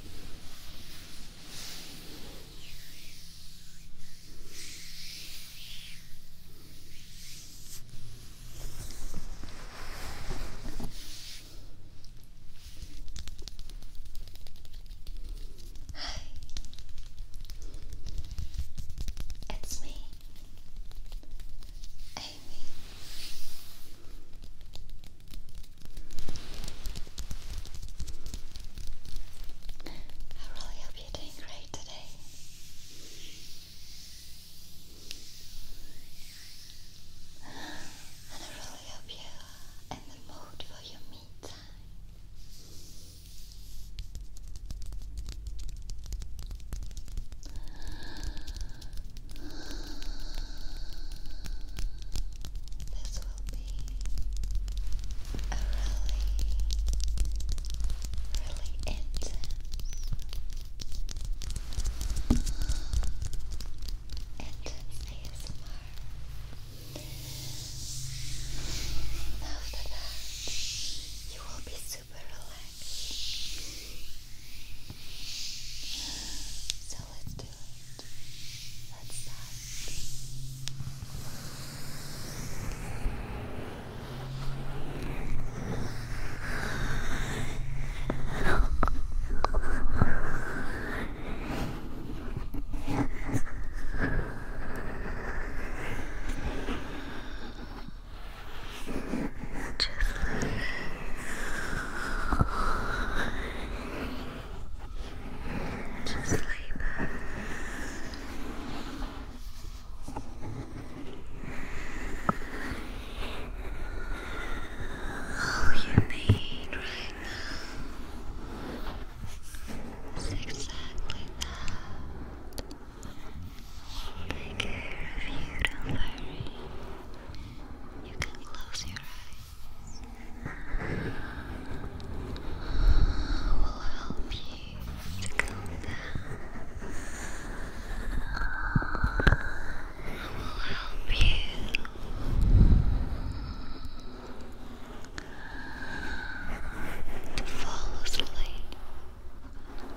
Hi, it's me, Amy. I really hope you're doing great today. And I really hope you're in the mood for your me time. This will be a really, really intense intense ASMR. After that, you will be super relaxed. So let's do it. Let's start. Just just sleep. All you need right now is exactly that. Take care of you, don't worry. You can close your eyes. We'll help you to calm down. We'll help you. To fall asleep,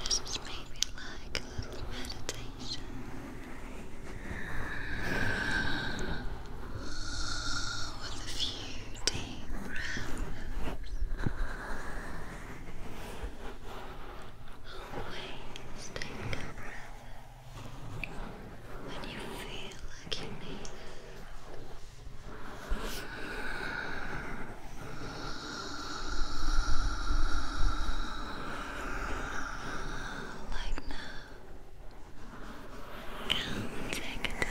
This is maybe like a little meditation. With a few deep breaths. Always take breath when you feel like you need it. Like now. take a deep breath.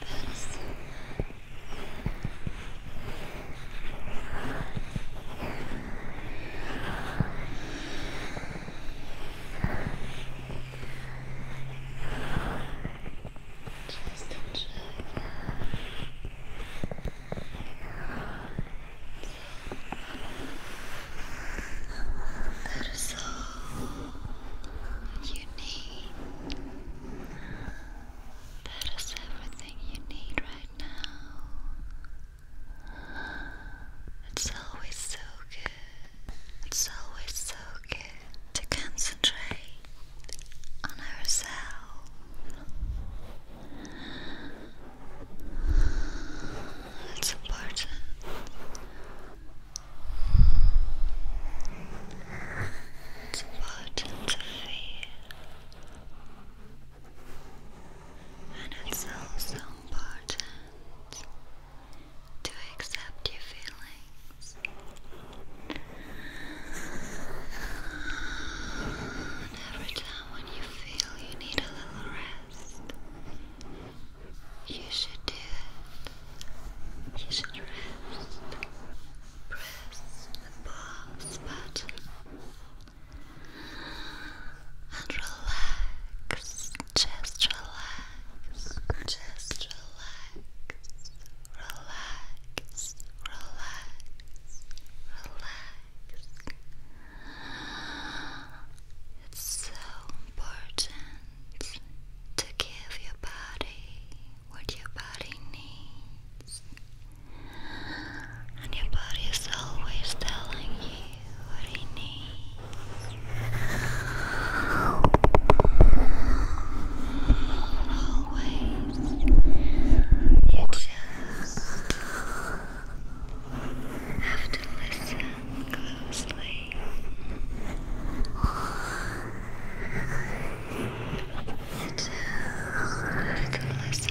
That is you enjoy. That is all you need. That is everything you need right now. It's always so good. It's always so good to concentrate on ourselves. It's important it's important to feel, and it's also important to accept your feelings. And every time when you feel you need a little rest, you should do it. You should rest. Press the pause button and relax. Just relax. Just relax. Relax. Relax. Relax. It's so important chance to give your body what your body needs. And your body is always telling you what it needs. Always. You just have to listen sleep. Just listen carefully. Just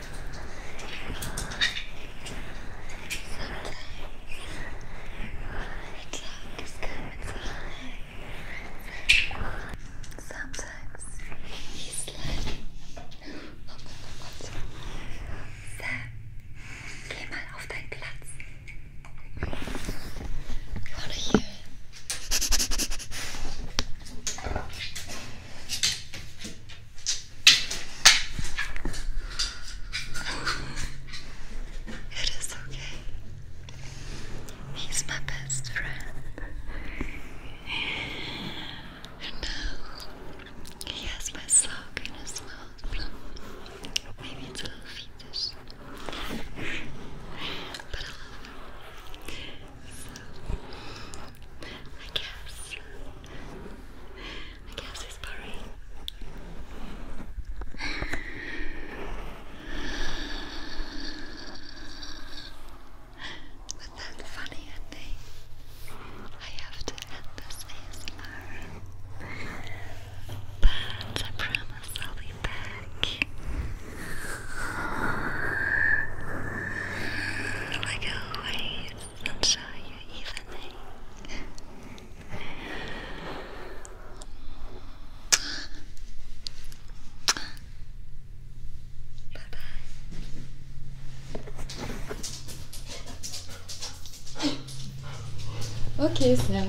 Sometimes he's like, oh mein Gott, Sam, geh mal auf deinen Platz. You wanna hear it? It is okay. He's my best friend. And uh, he has my sock in his Maybe it's a little fetus. But love I guess. I guess he's boring. With that funny ending, I have to end this ASMR. But I promise I'll be back. Like always, I'm sure you evening. Bye bye. Okay, Sam.